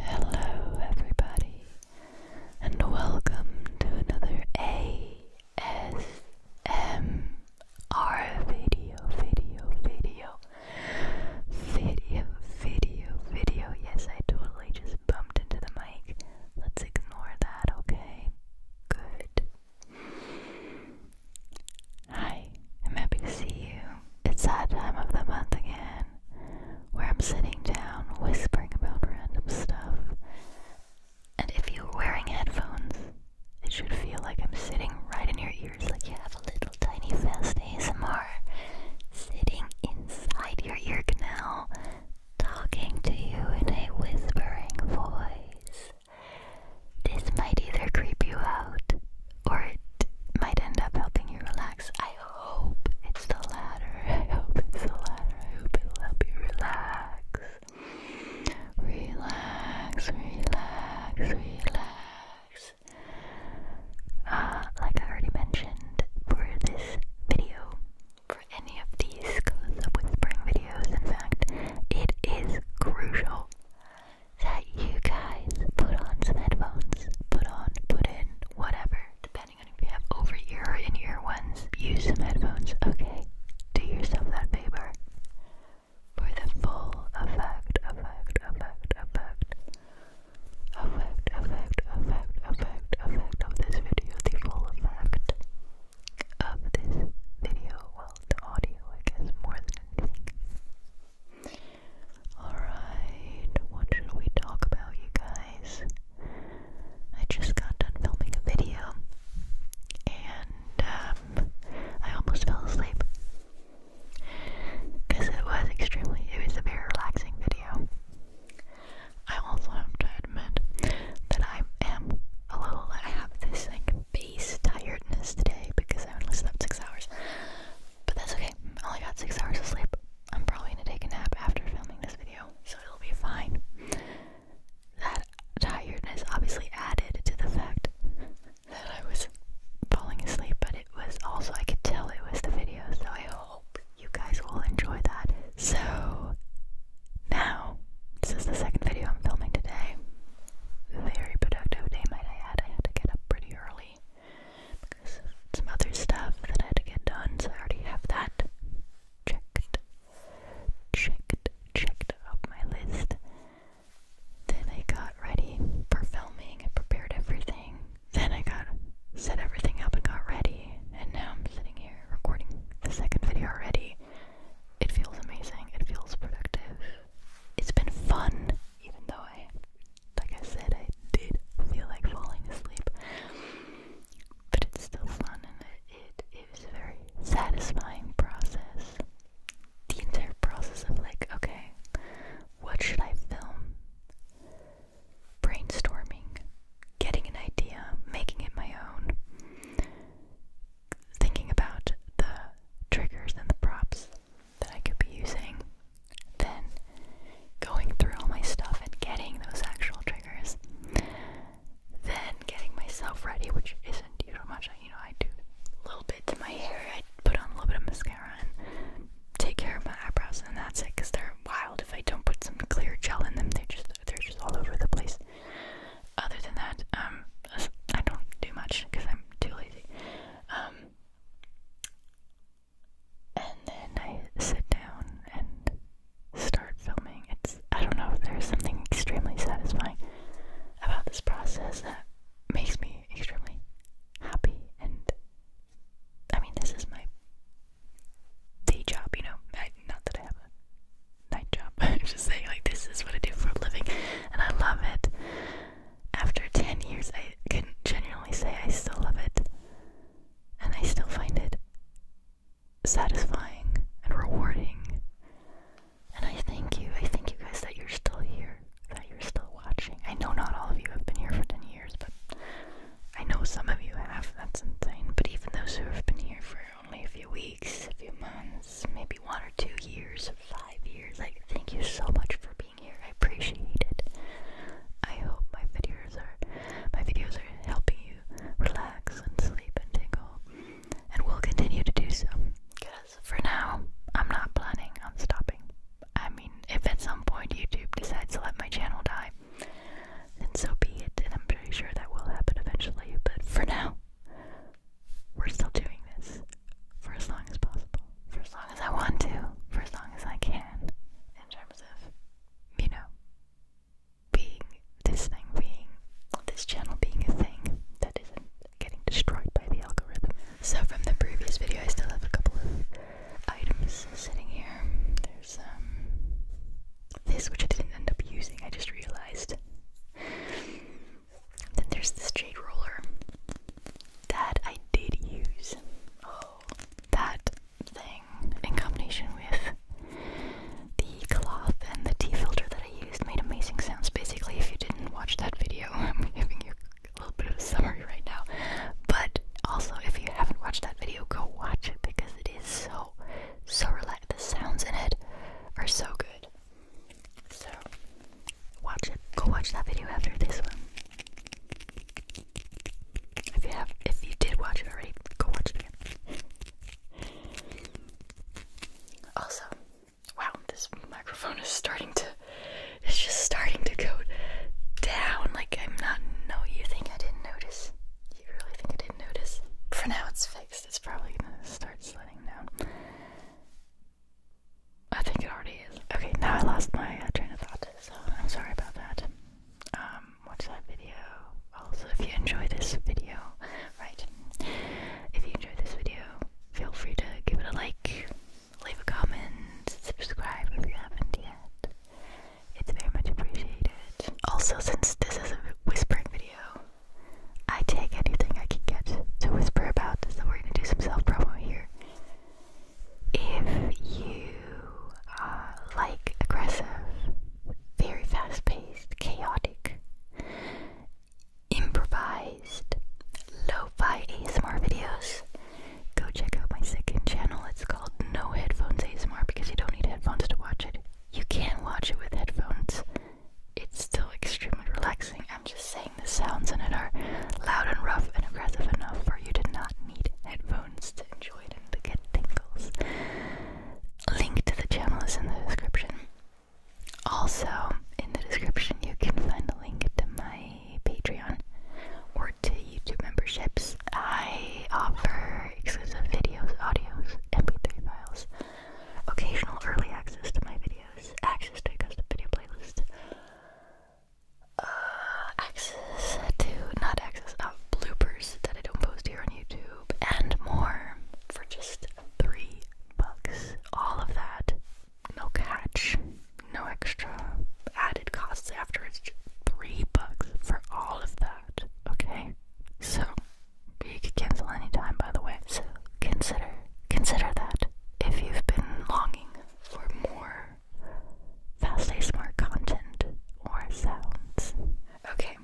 Hello, everybody, and welcome to another ASMR video, video, video, video, video, video. Yes, I totally just bumped into the mic. Let's ignore that, okay? Good. Hi, I'm happy to see you. It's that time of the month again where I'm sitting down whispering about random stuff. And if you're wearing headphones, it should feel like I'm sitting right in your ears, like you have a little tiny fast ASMR sitting inside your ear canal, talking to you in a whispering voice. This might either creep you out or it might end up helping you relax. I hope it's the latter. I hope it's the latter. I hope it'll help you relax. Relax, relax, relax. Uh, like I already mentioned, for this video, for any of these close up whispering videos, in fact, it is crucial that you guys put on some headphones, put on, put in and whatever, depending on if you have over ear or in ear ones, use some headphones, okay? Do yourself that favor for the full effect, effect, effect, effect, effect, effect, effect, effect, effect of this video, the full effect of this video, well, the audio, I guess, more than anything. Alright, what should we talk about, you guys? I just got done filming a video and um, I almost fell asleep because it was extremely, it was a very relaxing video. I also have to admit that I am a little, I have this like base tiredness today because I only slept six hours. But that's okay. I only got six hours of sleep. I'm probably gonna take a nap after filming this video, so it'll be fine. That tiredness obviously added to the fact that I was falling asleep, but it was also, I could tell it was the video, so I hope you guys will enjoy that. So, now, this is the second video I'm filming today. Very productive day, might I add. I had to get up pretty early because of some other stuff that I had to get done, so I already have that checked, checked, checked off my list. Then I got ready for filming, and prepared everything. Then I got set everything up and got ready, and now I'm sitting here recording the second video already. It feels amazing, it feels productive. It's been fun, even though I like I said, I did feel like falling asleep, but it's still fun and it, it, a very satisfying process. The entire process of like, okay, what should I film? Brainstorming, getting an idea, making it my own, thinking about the triggers and the props, that I could be using then going through all my stuff and getting those actual triggers. Then getting myself ready, which isn't usually much. I, you know, I do a little bit to my hair. I put on a little bit of mascara and take care of my eyebrows, and that's it. Cause they're wild. If I don't put some clear gel in them, they just they're just all over the place. Other than that, um, I don't do much because I'm too lazy. Um, and then I sit down and start filming. It's I don't know if there's something extremely satisfying about this process that makes me extremely happy and I mean this is my day job, you know. I, not that I have a night job. I'm just saying like this is what I do for a living and I love it after 10 years, I can genuinely say I still love it. And I still find it satisfying and rewarding. And I thank you. I thank you guys that you're still here, that you're still watching. I know not all of you have been here for 10 years, but I know some of you have. That's insane. But even those who have been here for only a few weeks, a few months, maybe one or two years, five years, like, thank you so much for being here. I appreciate it. I hope my videos are my videos are helping you relax and sleep and tingle, and we will continue to do so. Because for now, I'm not planning on stopping. I mean, if at some point YouTube decides to let my channel die, then so be it. And I'm pretty sure that will happen eventually. But for now, we're still doing this for as long as possible for as long as I want to, for as long as I can, in terms of, you know, being this thing, being this channel being a thing that isn't getting destroyed by the algorithm. So, from the previous video, I still have a couple of items sitting here. There's um, this, which I didn't end up using, I just realized. Then there's this jade roller that I did use. Oh, that thing in combination with the cloth and the tea filter that I used made amazing sounds. Basically, if you didn't watch that video, I'm giving you a little bit of a summary right now. But also, if you haven't watched that video, go watch it because it is so, so relaxing. The sounds in it are so good. So, watch it. Go watch that video after this one. If you have, if you did watch it already, go watch it again. also, wow, this microphone is starting to, it's just starting to go down. Like I'm not. No, you think I didn't notice? You really think I didn't notice? For now, it's fixed. It's probably gonna start sliding down. I think it already is. Okay, now I lost my uh, train of thought, so I'm sorry about that. Um, watch that video. Also, if you enjoy this video, right, if you enjoy this video, feel free to give it a like, leave a comment, subscribe if you haven't yet. It's very much appreciated. Also, since this is a whispering video, I take anything I can get to whisper about, so we're gonna do some self promo here if you uh, like aggressive, very fast paced, chaotic, improvised, lo fi ASMR videos, go check out my second channel. It's called No Headphones ASMR because you don't need headphones to watch it. You can watch it with headphones, it's still extremely relaxing. I'm just saying the sounds in it are loud and rough and aggressive enough for you to not need headphones to enjoy it and to get tingles. Link to the channel is in the description. Also, in the description, you can find a link to my Patreon or to YouTube memberships. I offer exclusive videos, audios, MP3 files, occasional early access to my videos, access to a custom video playlist, uh, access to, not access, uh, bloopers that I don't post here on YouTube, and more for just three bucks. All of that, no catch, no extra added costs after it's just three bucks for all of that, okay? So, you could cancel anytime, by the way. So, consider, consider that if you've been longing for more Fastly Smart content or sounds. Okay,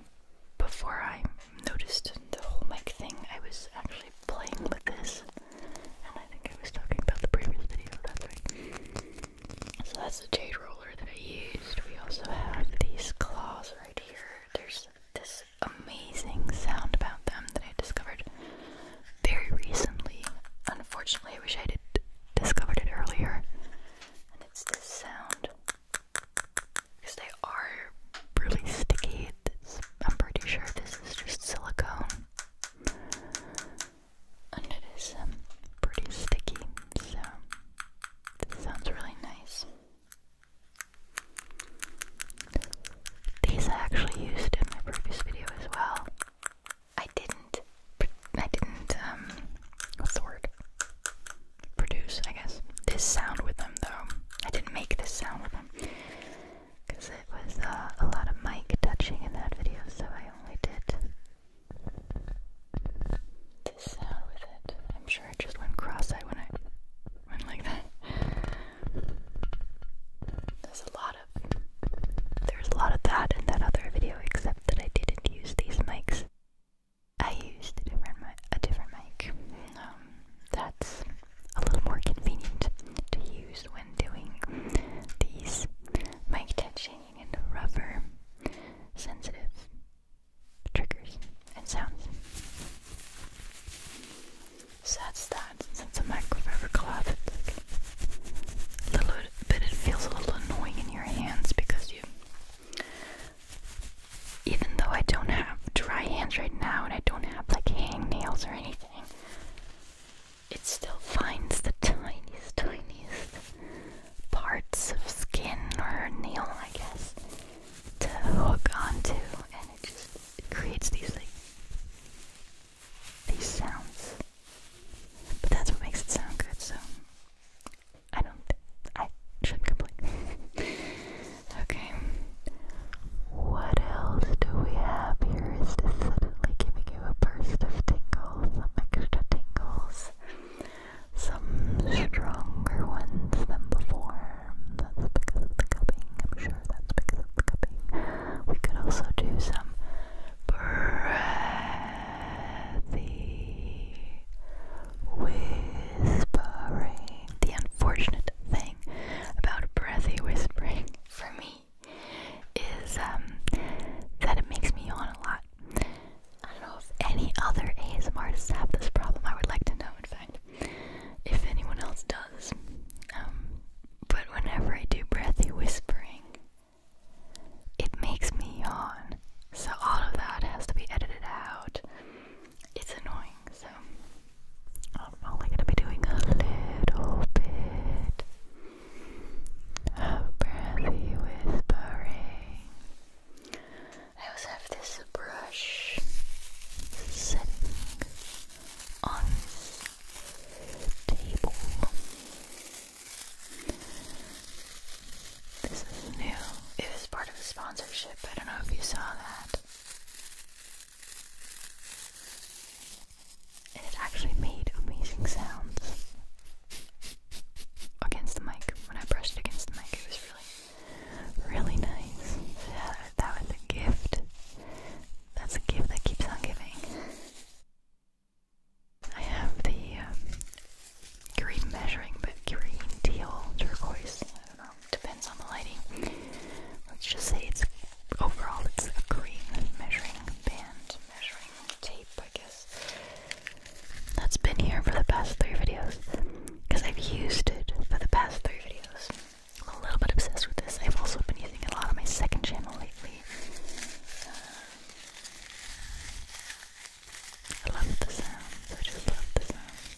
before I noticed the whole mic thing, I was actually playing with this. And I think I was talking about the previous video, that's right. So that's the jade roller that I used. We also have these claws right here. There's this amazing sound about them that I discovered very recently. Unfortunately, I wish I had discovered it earlier. And it's this sound because they are really sticky. I'm pretty sure this is just silicone, and it is um, pretty sticky. So this sounds really nice. These I actually used in my previous video as well. I didn't. I didn't. Um, what's the word? Produce, I guess. This sound with them, though. I didn't make this sound with them because it was uh, a lot of mic touching in that video, so I only did this sound with it. I'm sure I just went cross-eyed when I went like that. There's a lot of there's a lot of that in that other video, except that I didn't use these mics. I used a different mi a different mic. Um, that's a little more convenient to use when doing these mic touching and rubber sensitive triggers and sounds. So that's that it's a microfiber cloth. a little bit, it feels a little annoying in your hands because you, even though I don't have dry hands right now and I don't have like hang nails or anything, it still finds the tiniest, tiniest parts of skin or nail, I guess, to hook onto, and it just creates these like these sounds. But that's what makes it sound good, so I don't I shouldn't complain. okay. What else do we have here? Is this giving you a burst of tingles, some extra tingles, some stronger ones than before? That's because of the cupping. I'm sure that's because of the cupping. We could also do some breathy whispering. The unfortunate thing about breathy whispering for me is um, that it makes me yawn a lot. I don't know if any other ASMRs have this problem. I would like to know, in fact, if anyone else does. Um, but whenever I do breathy whispering, it makes me yawn. So all of that has to be edited out. It's annoying, so I'm only going to be doing a little bit of breathy whispering. I also have this brush sitting on table. This is new. It part of a sponsorship. I don't know if you saw that. And it actually made amazing sounds against the mic. When I brushed against the mic, it was really, really nice. Yeah, that was a gift. That's a gift that keeps on giving. I have the um, green measuring, but green, teal, turquoise. I don't know. Depends on the lighting. Let's just say it's overall it's a green measuring band, measuring tape, I guess. That's been here for the past three videos because I've used it for the past three videos. I'm a little bit obsessed with this. I've also been using it a lot on my second channel lately. I love the sounds, I just love the sounds.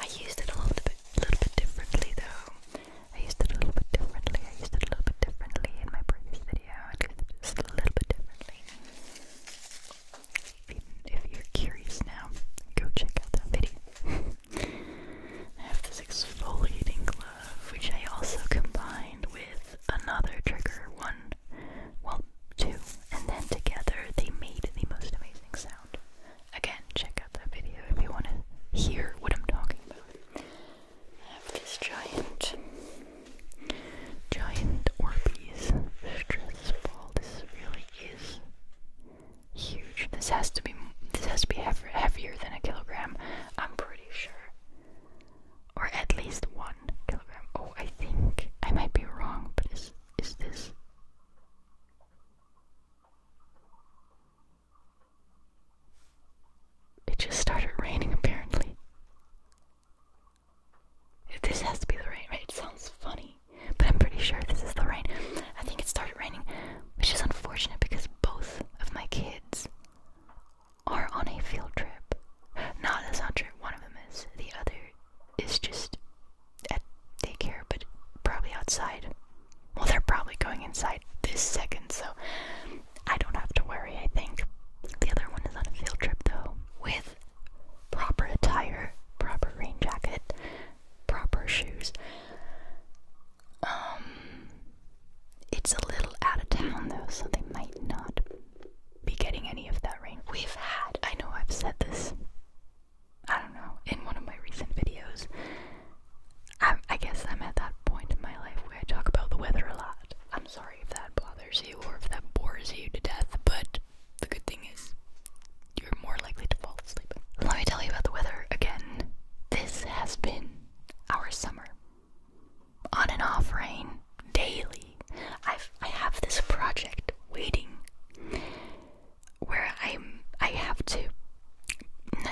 I used it a little bit, little bit differently though. I used it a little bit differently, I used it a little bit differently in my previous video. I used it a little bit differently. if you're curious now, go check out that video. I have this exfoliating glove, which I also combined with another trigger, one, well, two, and then together they made the most amazing sound. Again, check out that video if you want to hear what I'm talking about. I have this giant, giant Orbeez stress ball. This really is huge. This has to be this has to be heavier than a kilogram. I'm pretty sure, or at least one kilogram. Oh, I think I might be wrong, but is is this? It just started raining apparently. if This has to be the rain, right? It sounds funny, but I'm pretty sure this is the rain. I think it started raining which is unfortunate because both of my kids are on a field trip. Not that's not trip. One of them is. The other is just at daycare, but probably outside. Well, they're probably going inside this second, so I don't have to worry, I think. The other one is on a field trip, though, with proper attire, proper rain jacket, proper shoes. Um, it's a little out of town though, so they might not be getting any of that rain. We've had, I know I've said this, I don't know, in one of my recent videos. I, I guess I'm at that point in my life where I talk about the weather a lot. I'm sorry if that bothers you or if that bores you to death, but the good thing is you're more likely to fall asleep. Let me tell you about the weather again. This has been our summer. On and off rain daily. I've I have this project waiting where I'm I have to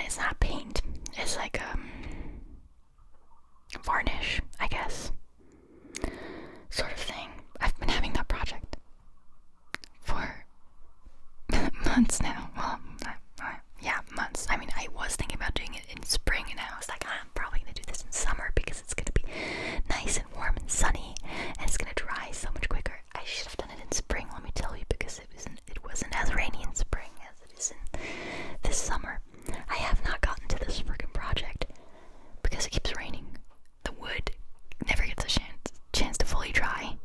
it's not paint. It's like a um, varnish, I guess. Sort of thing. I've been having that project for months now. Well, uh, uh, yeah, months. I mean, I was thinking about doing it in spring, and I was like, ah, I'm probably gonna do this in summer because it's gonna be nice and warm and sunny, and it's gonna dry so much quicker. I should have done it in spring, let me tell you, because it wasn't it wasn't as rainy in spring as it is in this summer. I have not gotten to this freaking project because it keeps raining. The wood never gets a chance to fully dry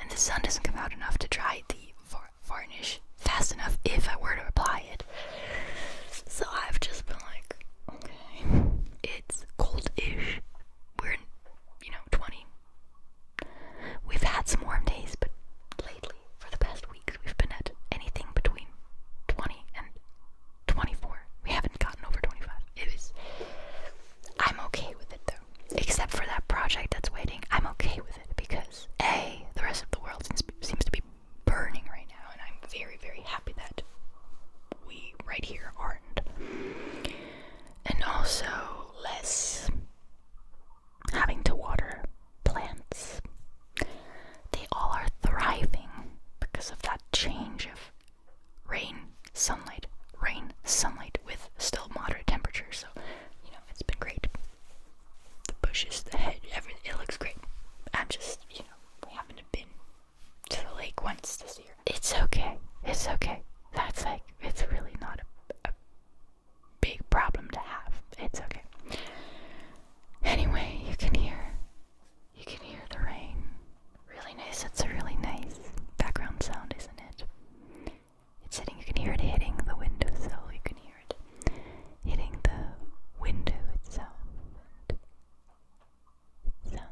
and the sun doesn't come out enough to dry the varnish fast enough if I were to apply it. So I've just been like, okay, it's cold-ish. We're in, you know, 20. We've had some warm days, but lately, for the past weeks, we've been at anything between 20 and 24. We haven't gotten over 25. It is. I'm okay with it though except for that project that's waiting, I'm okay with it because A, the rest of the world seems to be burning right now, and I'm very, very happy that we right here aren't. And also, less having to water plants. They all are thriving because of that change of rain, sunlight, rain, sunlight with still moderate temperatures. So, you know, it's been great. The bushes, the head, everything, it looks great. I'm just, you know, we haven't been to the lake once this year. It's okay. It's okay. That's like, it's really not a, a big problem to have. It's okay. Anyway, you can hear, you can hear the rain. Really nice. It's a really nice background sound, isn't it? It's hitting, you can hear it hitting the windowsill, you can hear it hitting the window itself. it sounds,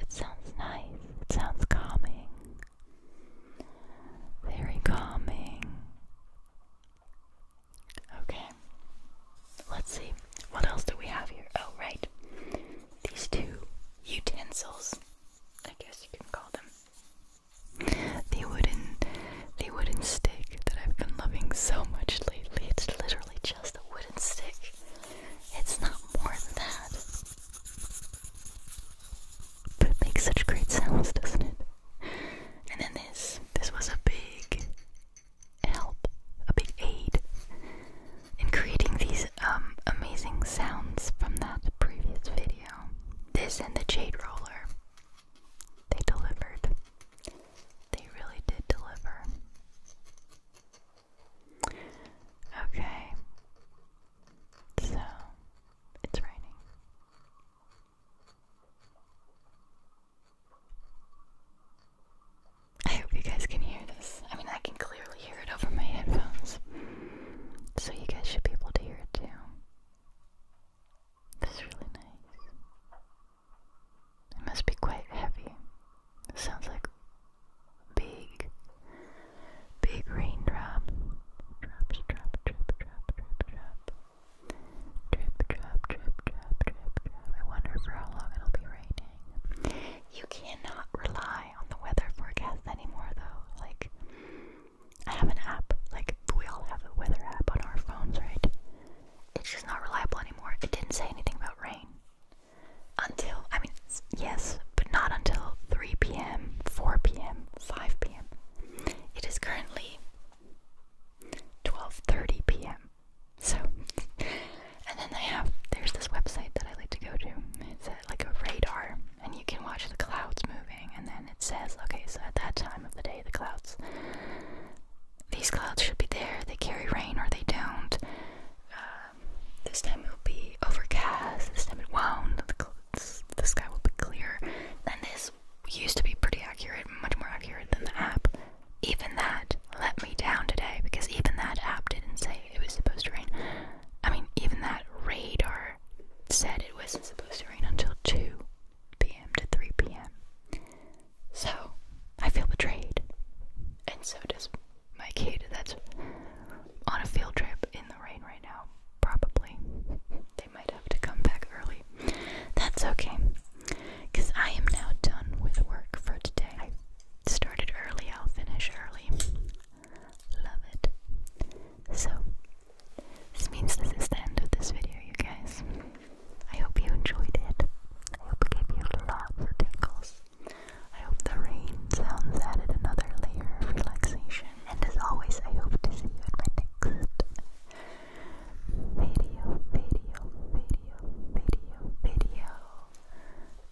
it sounds nice, it sounds calming, very calming. Okay, let's see, what else do we have here? Oh, right, these two utensils, I guess you can call them. The wooden, the wooden stick that I've been loving so much lately. It's literally just a wooden stick. It's not more than that. But it makes such great sounds, doesn't it? And then this, this was a big help, a big aid in creating these um, amazing sounds from that previous video. This and the jade roller. They delivered. They really did deliver. Okay. So, it's raining. I hope you guys can hear this. I mean, I can clearly hear it over my headphones. So you guys should be able to hear it too. That's really nice. It must be quite heavy. sounds like big, big raindrop. Drops, drop, drip, drop, drip, drop. Drip, drop, drip, drop, drip, drop. I wonder for how long it'll be raining. You cannot rely on the weather forecast anymore, though. Like, I have an app, like we all have a weather app on our phones, right? It's just not reliable anymore. It didn't say anything about rain until, I mean, yes, but not until 3 p.m., 4 p.m., 5 p.m. It is currently 12:30 p.m. So, and then they have there's this website that I like to go to. It's uh, like a radar and you can watch the clouds moving, and then it says, okay, so at that time of the day, the clouds, these clouds should be there. They carry rain or they don't. Um, this time it will be overcast. This time it won't. The, clouds, the sky will be clear. And this used to be pretty accurate, much more accurate than the app. Even that let me down today because even that app didn't say it was supposed to rain. I mean, even that radar said it wasn't supposed to rain until 2 p.m. to 3 p.m. So, I feel betrayed. And so does my kid that's on a field trip in the rain right now, probably. They might have to come back early. That's okay, because I am now done with work for today. I started early, I'll finish early love it. So, this means this is the end of this video, you guys. I hope you enjoyed it. I hope it gave you lots of tingles. I hope the rain sounds added another layer of relaxation. And as always, I hope to see you in my next video, video, video, video, video.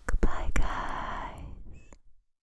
Goodbye, guys.